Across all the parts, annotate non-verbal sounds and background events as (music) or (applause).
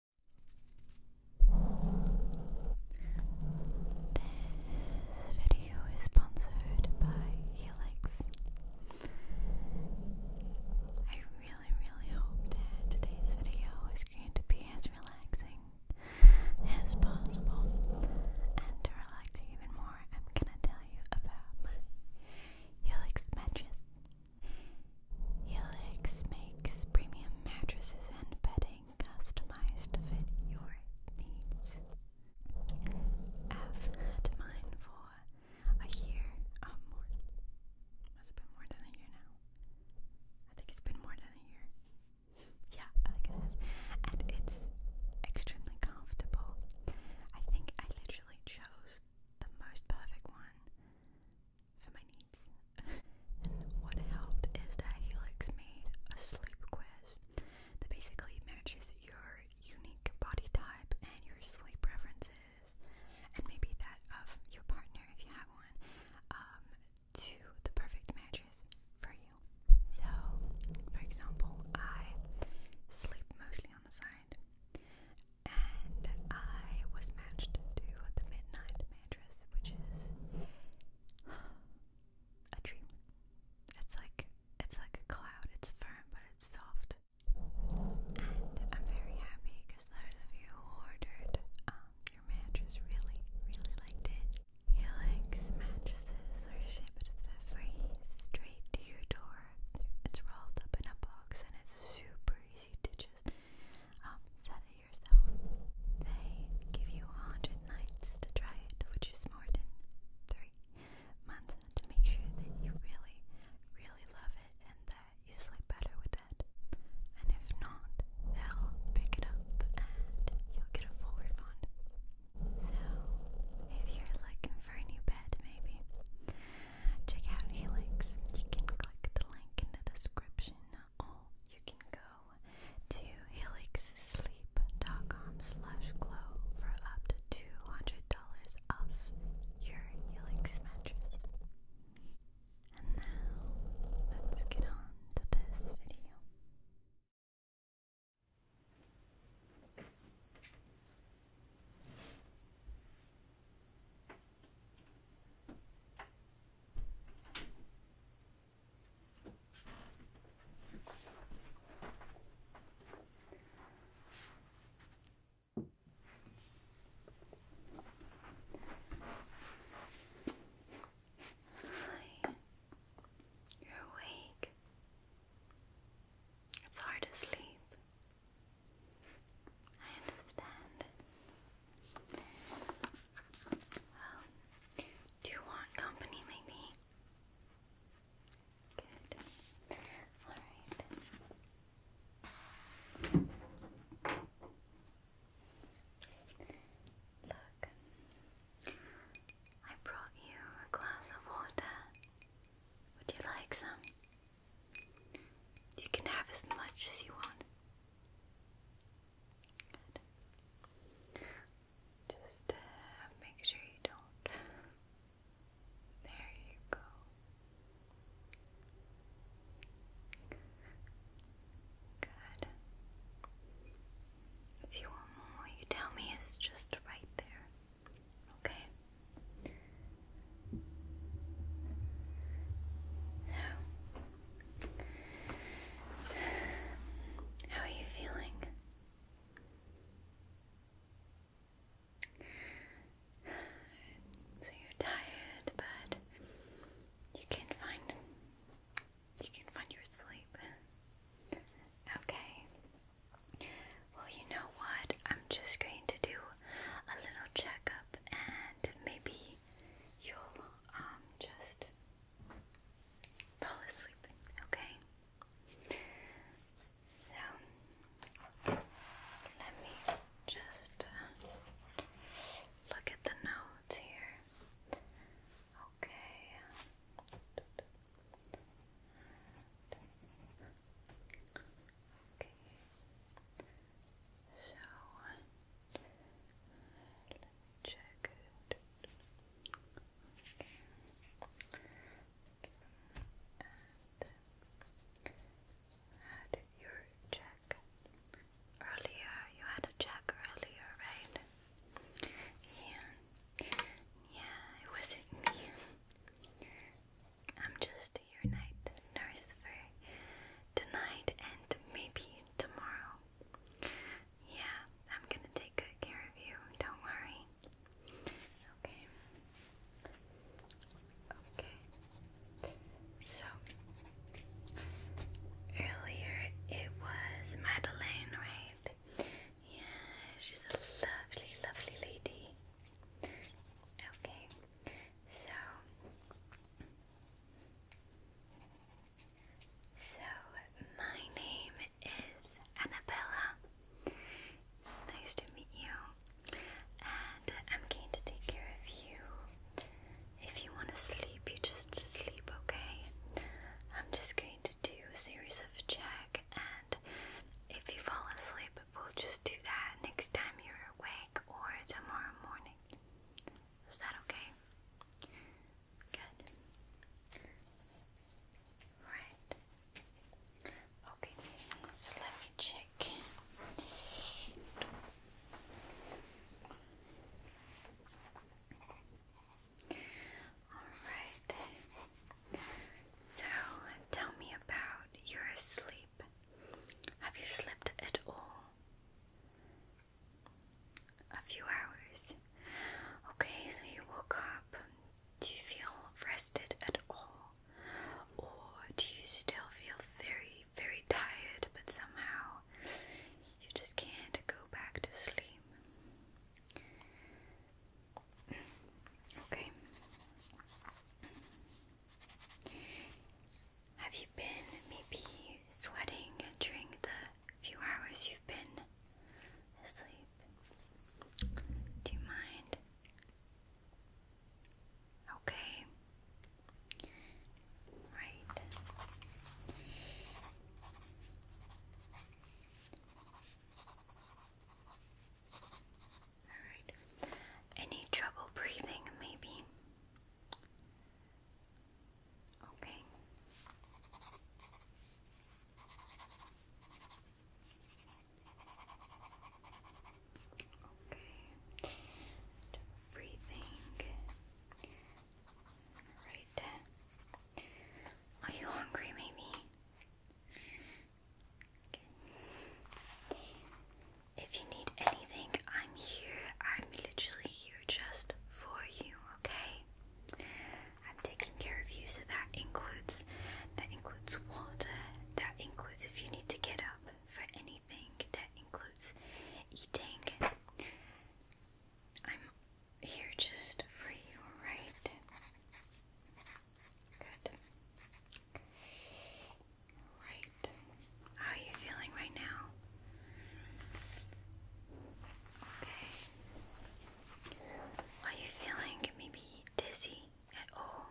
This video is sponsored by Helix. I really, really hope that today's video is going to be as relaxing as possible. And to relax you even more, I'm gonna tell you about Helix mattress. Helix makes premium mattresses and bedding customized to fit your needs. I've had mine for a year, um, more, must have been more than a year now. I think it's been more than a year. Yeah, I think it is. And it's extremely comfortable. I think I literally chose the most perfect one what helped is that Helix made a sleep quiz that basically matches your unique body type and your sleep preferences, and maybe that of your partner if you have one, um, to the perfect mattress for you. So, for example, I sleep mostly on the side. And I was matched to the Midnight address, which is a dream. It's like it's like a cloud. It's firm, but it's soft. And I'm very happy because those of you who ordered um, your mattress really, really liked it. Helix mattresses are shipped free straight to your door. It's rolled up in a box and it's super easy to just um, set it They give you 100 nights to try it, which is more than three months, to make sure that you really, really love it and that you sleep better with it. And if not, they'll pick it up and you'll get a full refund. So, if you're looking for a new bed, maybe check out Helix. You can click the link in the description or you can go to helixsleep.com slash glow for up to $200 off your Helix mattress. And now, let's get on to this video. Hi. You're awake. It's hard to sleep. I understand. Um, do you want company maybe? Good. Alright. Look, I brought you a glass of water. Would you like some? You can have as much as you want. Just uh, make sure you don't. There you go. Good. If you want more, you tell me it's just right there. Okay? So, how are you feeling? So you're tired, but you can find you can find your sleep. Okay. Well, you know what? I'm just going to do a little checkup and maybe you'll um, just fall asleep, okay? So let me just uh, look at the notes here. Okay. Okay. So let had your check earlier? You had a check earlier, right? Yeah. Yeah, it wasn't me. I'm just your night nurse for tonight and maybe tomorrow. Yeah, I'm gonna take good care of you, don't worry. Okay. Okay. So, earlier it was Madeleine, right? Yeah, she's a lovely, lovely lady. Okay, so so, my name is Annabella. It's nice to meet you. And I'm going to take care of you. If you want to sleep, you just sleep, okay? I'm just going to do a series of check, and if you fall asleep, we'll just do that next time you're awake or tomorrow morning. Is that okay? Good. Right. Okay, so let me check. Alright. So tell me about your sleep. Have you slept at all? a few hours. Okay, so you woke up. Do you feel rested at all? Or do you still feel very, very tired, but somehow you just can't go back to sleep? Okay. Have you been maybe sweating during the a few hours you've been asleep. Do you mind? Okay. Right. Alright. Any trouble breathing, maybe? Okay. Okay. Breathing. Right. Are you hungry, maybe? If you need anything, I'm here. I'm literally here just for you, okay? I'm taking care of you, so that includes that includes water, that includes if you need to get up for anything, that includes eating. I'm here just for you, alright? Good. Right. How are you feeling right now? Okay. Are you feeling maybe dizzy at all?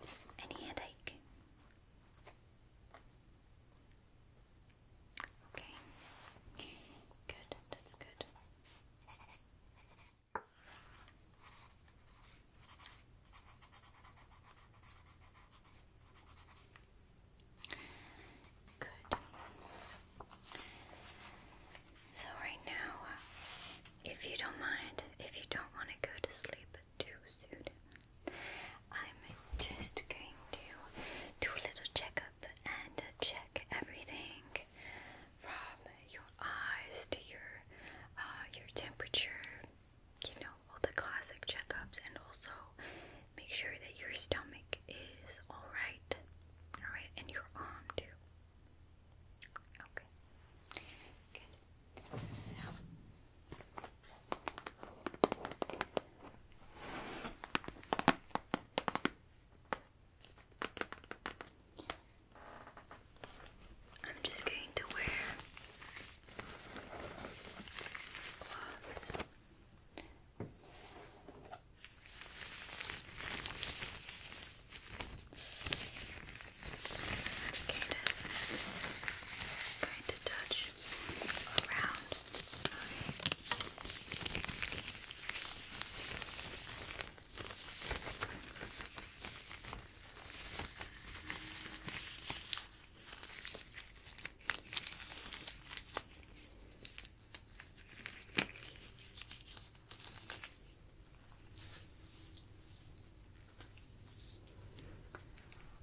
Hmm. Any headache? Okay. Good. That's good. Okay. Good. So, right now, uh, if you don't mind, if you don't want to go to sleep too soon, I'm just going to do a little checkup and check everything from your eyes to your uh, your temperature, you know, all the classic checkups and also make sure that your stomach is all right. All right, and your arm too. Okay. Good. So I'm just going to wear gloves. I'm going to touch around. Okay.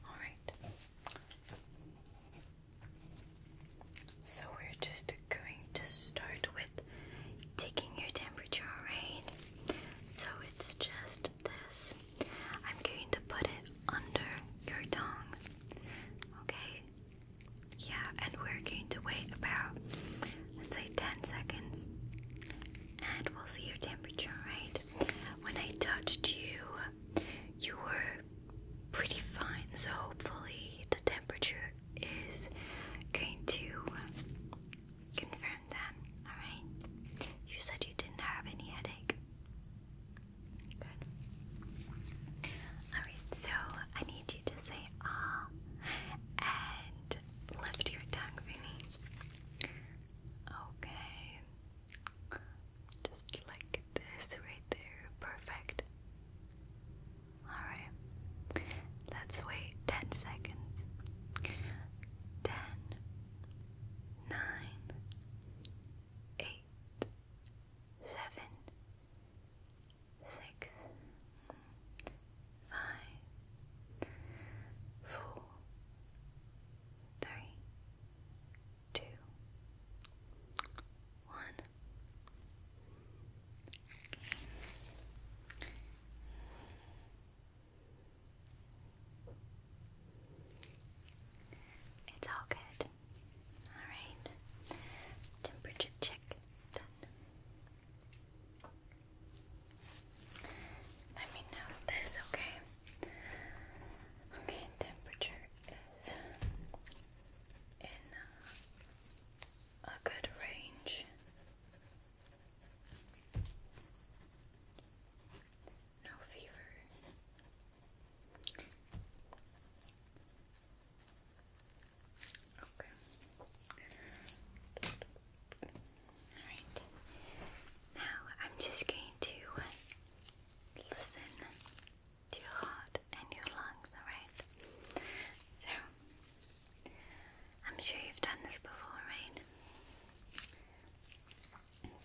All right. So we're just going to start with taking your temperature, alright? So it's just this I'm going to put it under your tongue. Okay? Yeah, and we're going to wait about, let's say, 10 seconds. And we'll see your temperature, right? When I touched you, you were pretty fine. So hopefully, the temperature is going to confirm that. Alright? You said you didn't have any headache. Good. Alright, so I need you to say ah and lift your tongue for Okay. Just like this right there. Perfect. Alright. Let's wait 10 seconds. 10, 8, seven, six, five, four, three, two, one. It's all good. Alright. Temperature check done. Let me know that is okay. Okay, temperature is in a good range. No fever, Okay. Alright. Now I'm just going to listen to your heart and your lungs, alright? So, I'm sure you've done this before, right?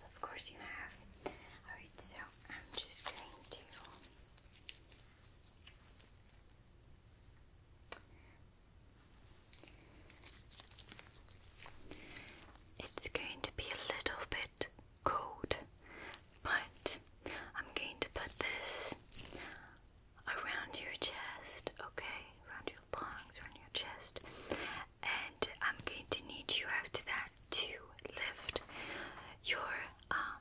of course you have. Alright, so I'm just going to it's going to be a little bit cold, but I'm going to put this around your chest, okay? Around your lungs, around your chest. And I'm going to need you after that to lift your uh,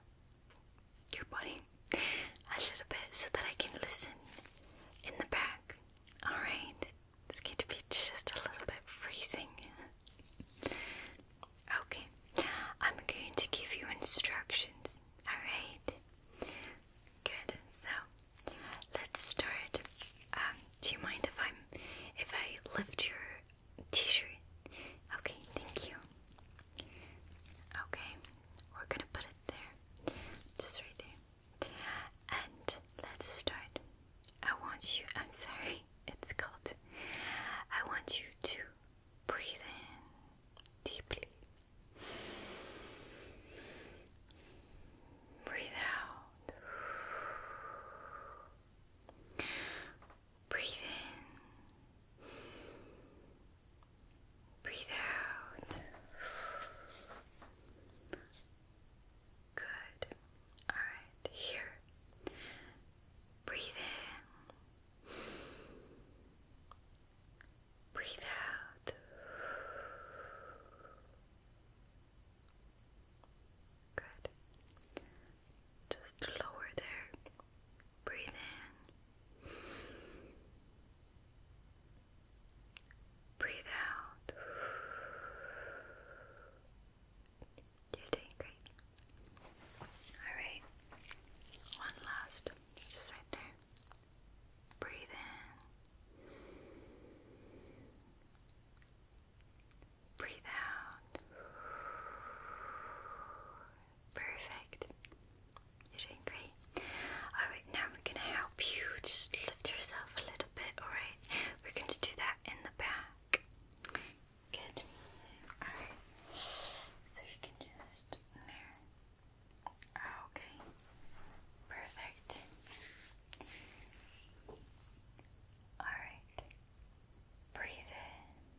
your body a little bit so that I can listen in the back. All right, it's going to be just a little bit freezing. Okay, I'm going to give you instructions. All right, good. So let's start. Um, do you mind if I'm if I lift your t-shirt. Okay, thank you. Okay, we're gonna put it there. Just right there. And let's start. I want you, I'm sorry, (laughs) it's cold. I want you to breathe in deeply. Breathe out. Breathe in. Breathe out. Good. All right, here. Breathe in. Breathe out. Good. Just lower there. Breathe in. Breathe out. You're doing great. Alright. One last. Just right there. Breathe in. Breathe out. Perfect. You're doing great. Alright, now we're going to help you just lift yourself a little bit, alright? We're going to do that in the back. Good. Alright. So you can just there. Okay. Perfect. Alright. Breathe in.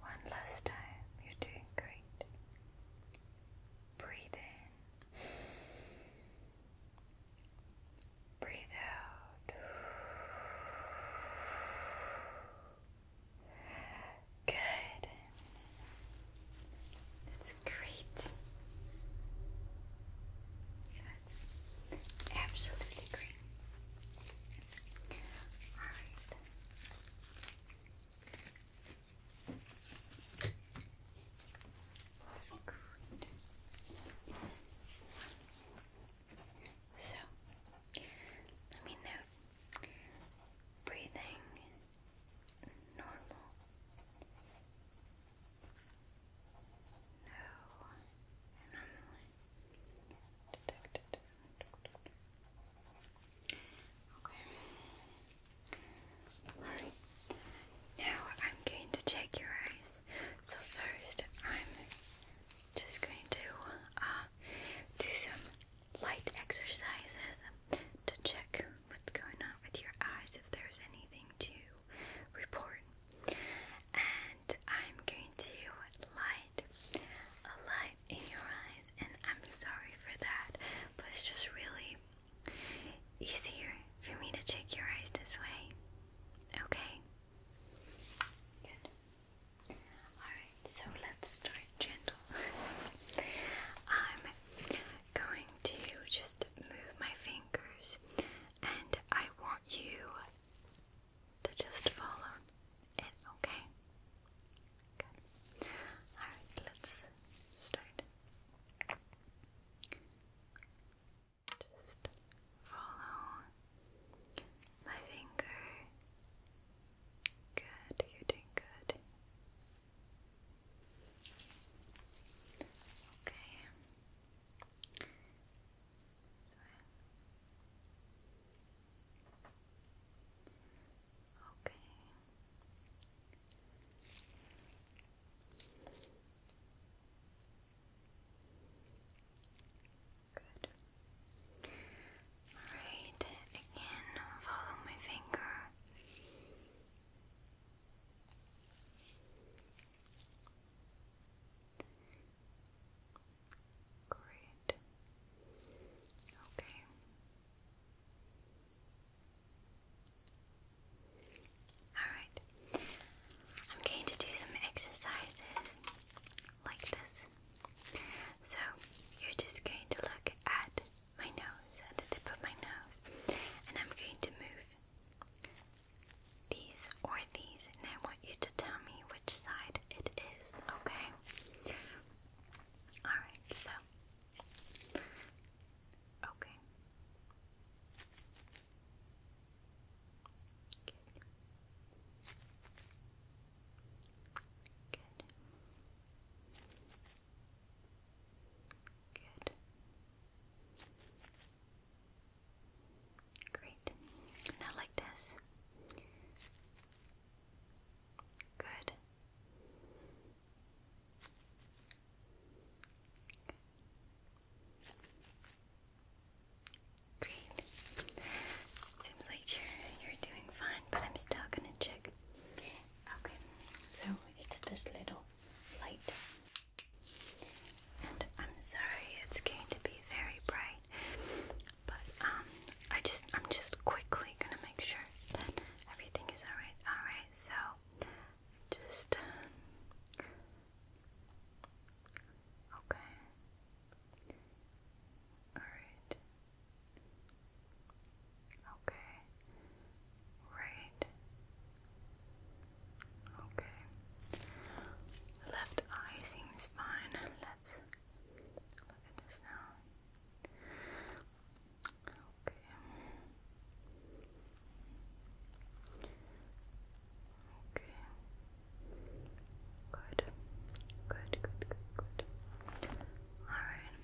One last time, you're doing great. Breathe in. Breathe out. Good. That's great. That's absolutely great. Alright. That's So, let me know. Breathing normal. No anomaly detected. Okay. Alright. Now I'm going to check your eyes. So first I'm just going to uh, do some light exercises to check what's going on with your eyes if there's anything to report. I'm going to light a light in your eyes, and I'm sorry for that, but it's just really easier for me to check your eyes this way. Okay? Good. Alright, so let's start gentle. (laughs) I'm going to just move my fingers, and I want you to just follow it, okay? Good. Alright, let's start. Just follow my finger. Good, you're doing good. Okay. Okay. Good. Alright, again, follow my finger. Great. Okay. Alright. I'm going to do some exercises like this. So, you're just going to look at my nose, at the tip of my nose, and I'm going to move these or these, and I want you to tell me which side it is, okay? Okay. Alright, so. Okay. Good. Good. Good. Great. Now like this. Good. Great. Seems like you're you're doing fine, but I'm still gonna check. Okay, so it's this little light. And I'm sorry, it's going to be very bright. But um, I just I'm just quickly gonna make sure that everything is alright. Alright, so just um, okay. Alright. Okay. Right. Okay. Left eye seems fine. Let's Look at this now. Okay. Okay. Good. Good, good, good, good. Alright.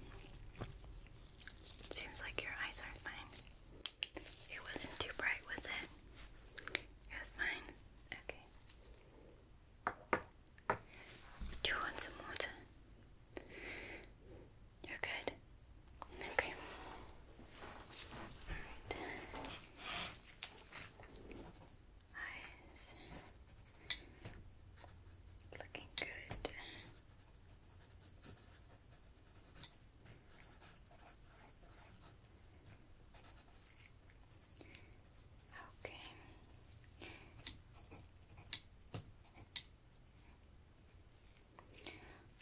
Seems like your eyes aren't fine. It wasn't too bright, was it? It was fine. Okay. Do you want some water? You're good. Okay. All right. Eyes looking good. Okay.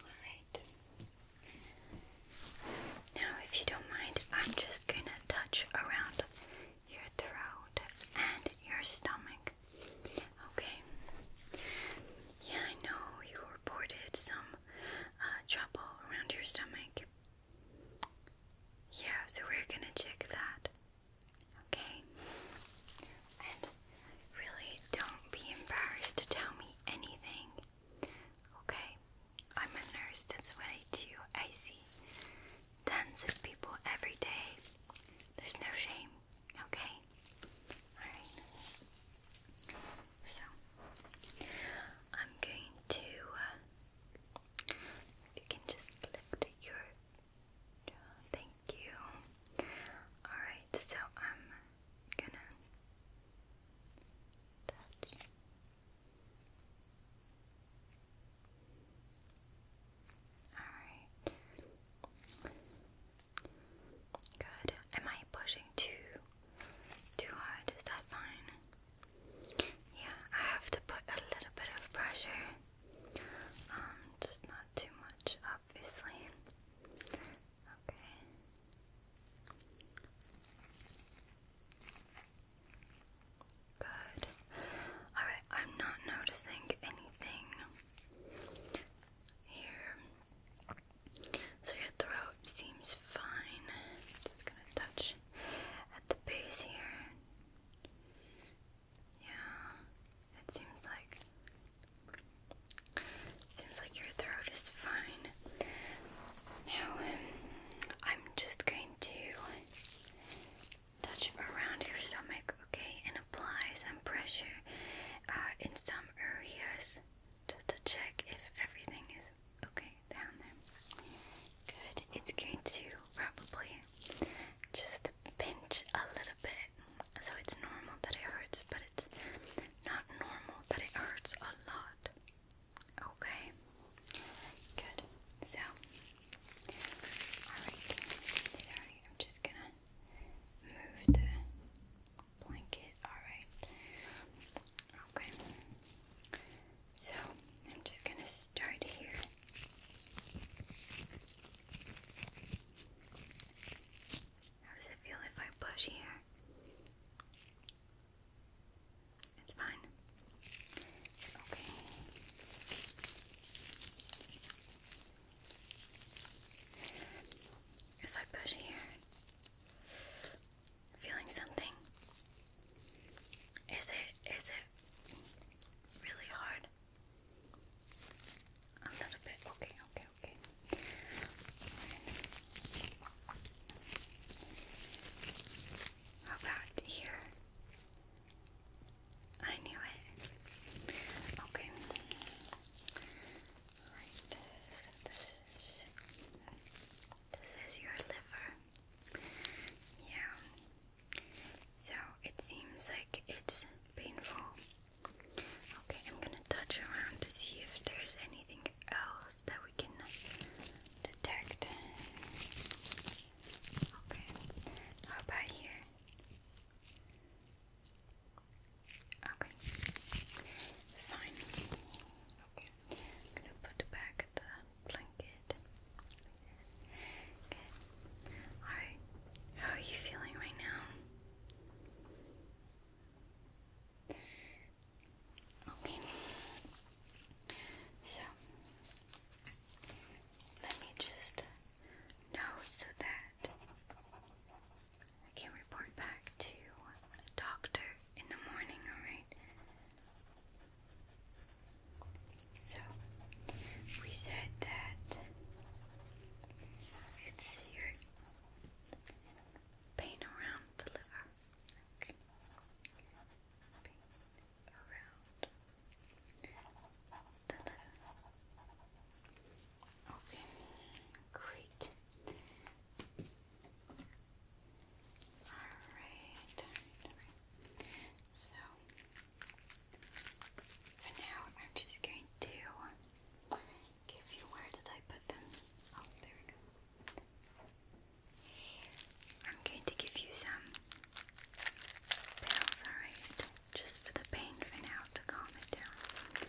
Alright. Now, if you don't mind, I'm just going to touch around your throat and your stomach. Okay. Yeah, I know you reported some uh, trouble around your stomach. Yeah, so we're going to check that. Okay? And really don't be embarrassed to tell me anything. Okay? I'm a nurse, that's what I do. I see tons of people every day. There's no shame. Okay? Alright. So, I'm going to, uh, if you can just lift your Thank you. Alright, so I'm gonna Alright. Good. Am I pushing too too hard? Is that fine? Yeah, I have to put a little bit of pressure um, just not too much, obviously. Okay. Good. Alright, I'm not noticing anything here. So your throat seems fine. Just gonna touch at the base here. Yeah, it seems like seems like your throat is fine. Now um, I'm just going to touch around your stomach, okay, and apply some pressure uh, in some areas just to check if everything is okay down there. Good. It's going to probably just pinch a little bit. So it's normal that it hurts, but it's not normal that it hurts a lot. Okay? Good. So, alright. Sorry, I'm just gonna move the blanket. Alright. Okay. So, I'm just gonna start here. How does it feel if I push here? It's fine. Okay. If I push here, feeling something. Is it is it really hard? A little bit. Okay, okay, okay. How about here? I knew it. Okay. Alright, this is your liver. Yeah. So it seems like it's painful. Okay, I'm gonna touch around to see if there's anything else that we can detect. Okay, how about here? Okay, fine. Okay, I'm gonna put back the blanket Alright. How are you feeling right now? So let me just note so that I can report back to a doctor in the morning, alright? So we said that it's your pain around the liver. Okay. Okay, great. alright. So for now, I'm just going to give you where did I put them? Oh, there we go. I'm going to give you some pills, alright? Just for the pain for now to calm it down.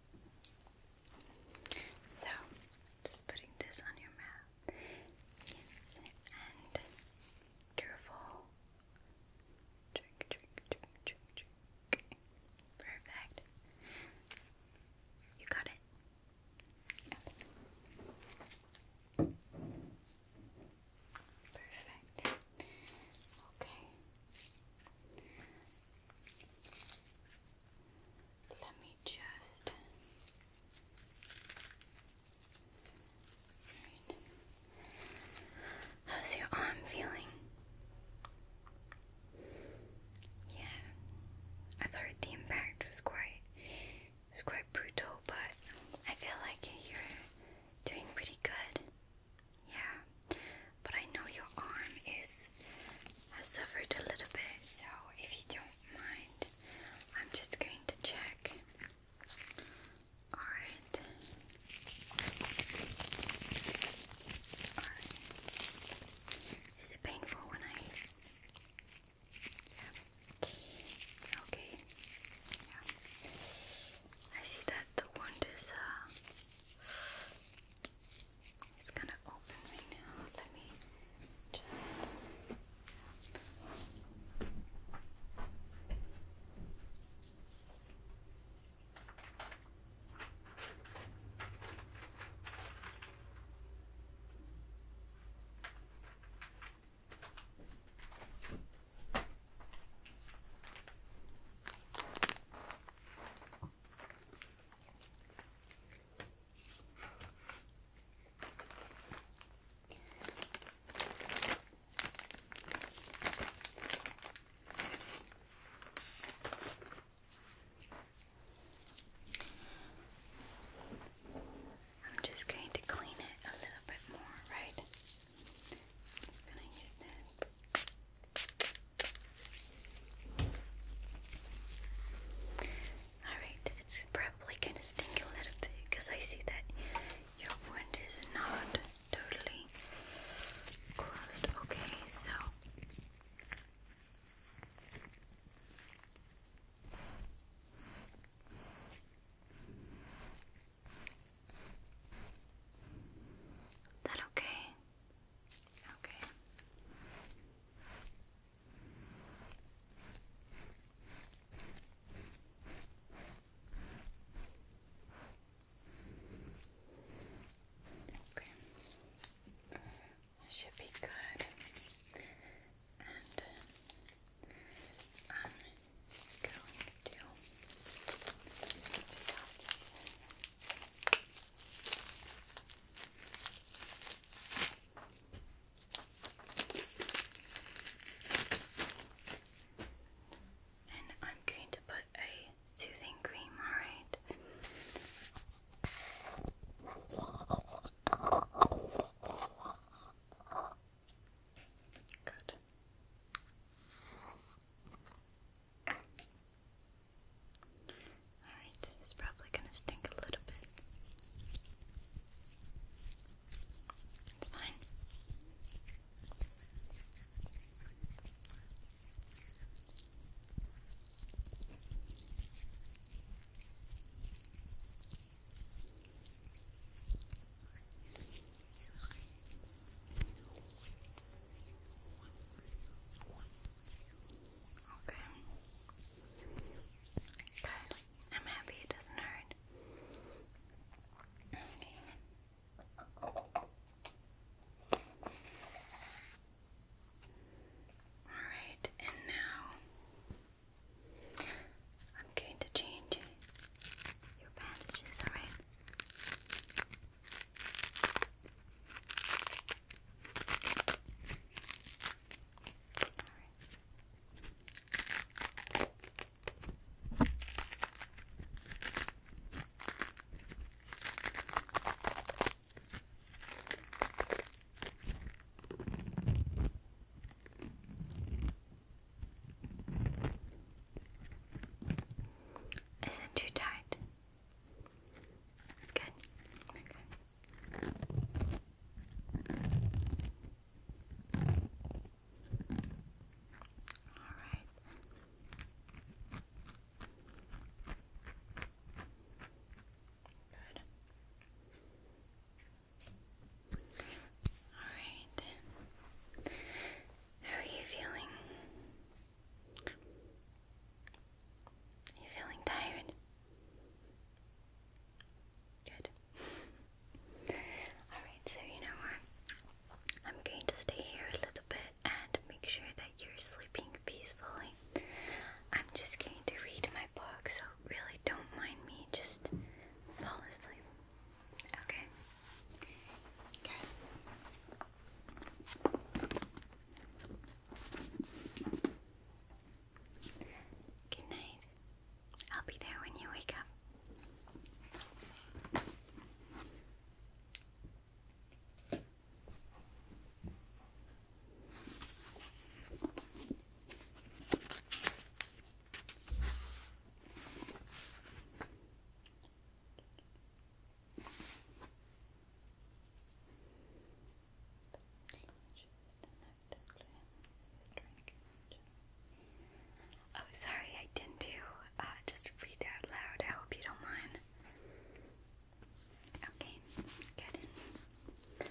So, just putting this on your mouth. Yes, and careful. Drink, drink, drink, drink, drink. Perfect. You got it. Perfect. Okay. Let me just. How's your arm feeling? Yeah, I've heard the impact was quite, was quite brutal, but I feel like you're doing pretty good. Yeah, but I know your arm is suffered a little bit, so if you don't mind, I'm just going to check. Alright. Is it painful when I Yeah. Okay. Yeah. I see that the wound is uh, it's gonna open me now. Let me just. I'm just going to clean it a little bit more, right? just going to use that. Alright, it's probably gonna stink a little bit because I see that your wound is not totally closed. Okay, so. That okay? Okay. Okay. This should be good. And uh, I'm going to take off these and I'm going to put a soothing cream, alright? Good. Alright, it's probably gonna stink a little bit. It's fine. All Okay. Good. I'm happy it doesn't hurt. Okay. Alright, and now I'm going to change your bandages, alright? Is it too tight? It's good. Okay. All right. Good. All right. How are you feeling? Are you feeling tired? Good. (laughs) Alright, so you know what? I'm going to stay here a little bit and make sure that you're sleeping peacefully. I'm just going to read my book, so really don't mind me. Just fall asleep. Okay? Okay. Good night. I'll be there when you wake up. Oh, sorry, I didn't do. Uh, just read out loud. I hope you don't mind. Okay, get in. Right. Right.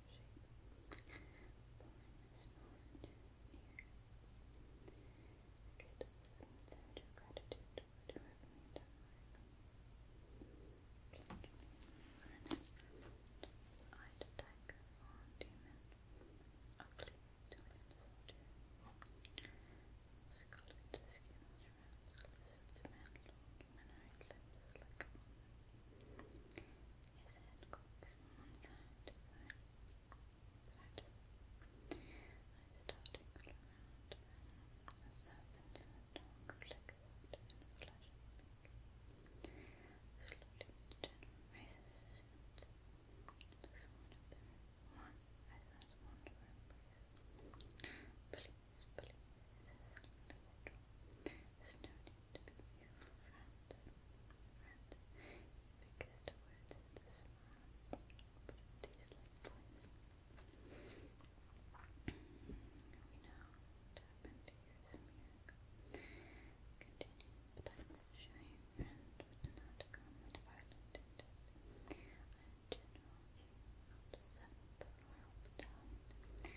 shape. Born small and near. Good sense of gratitude toward whoever made that mark. Planet. Eyed tiger or demon. Ugly Italian soldier. Scarlet skin is wrapped close with man long humanoid limbs like a woman his head cocked from one side to the side to the I started all around him, a serpent in a tongue liquid in a flash of pink. Slowly the general raises his hands. Does one of them one as that one to embrace? Please, please, says the little snowed to be your friend, friend. Because the word is the smile, but it tastes like poison. We know what happened here is a miracle. Continue, but I will show you friend would not come at violent intent. I am general of the seventh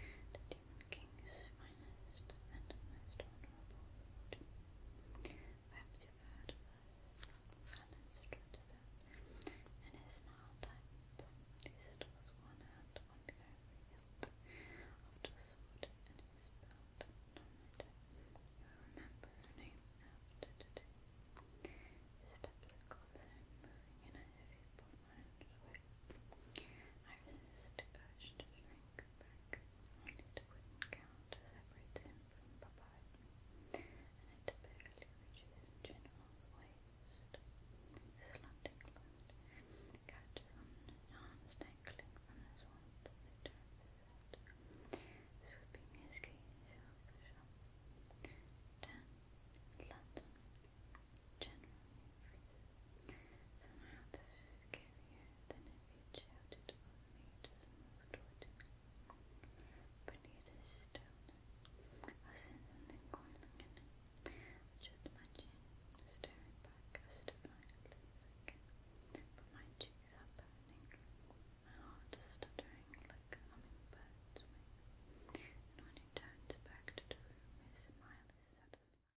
royal battalion. That Stephen King's finest and most honourable lord. you heard of us. Silence stretched out, his smile tightened. He settles one hand on the ivory hilt sword and his belt. No matter, closer, moving in a heavy, bullman's I resist the urge to shrink Quebec, and it would him from Papa and it barely reaches General's waist. Slanting light catches on his arms dangling from his wand sweeping his gaze over shop. Ten, London, generally Somehow this is scarier than if you'd shouted over me to move toward me. this stillness, I sense something coiling in it. my chin, staring back as my cheeks are burning, my heart is stuttering like a hummingbird's wing, and when he turns back to the room, his smile is satisfying.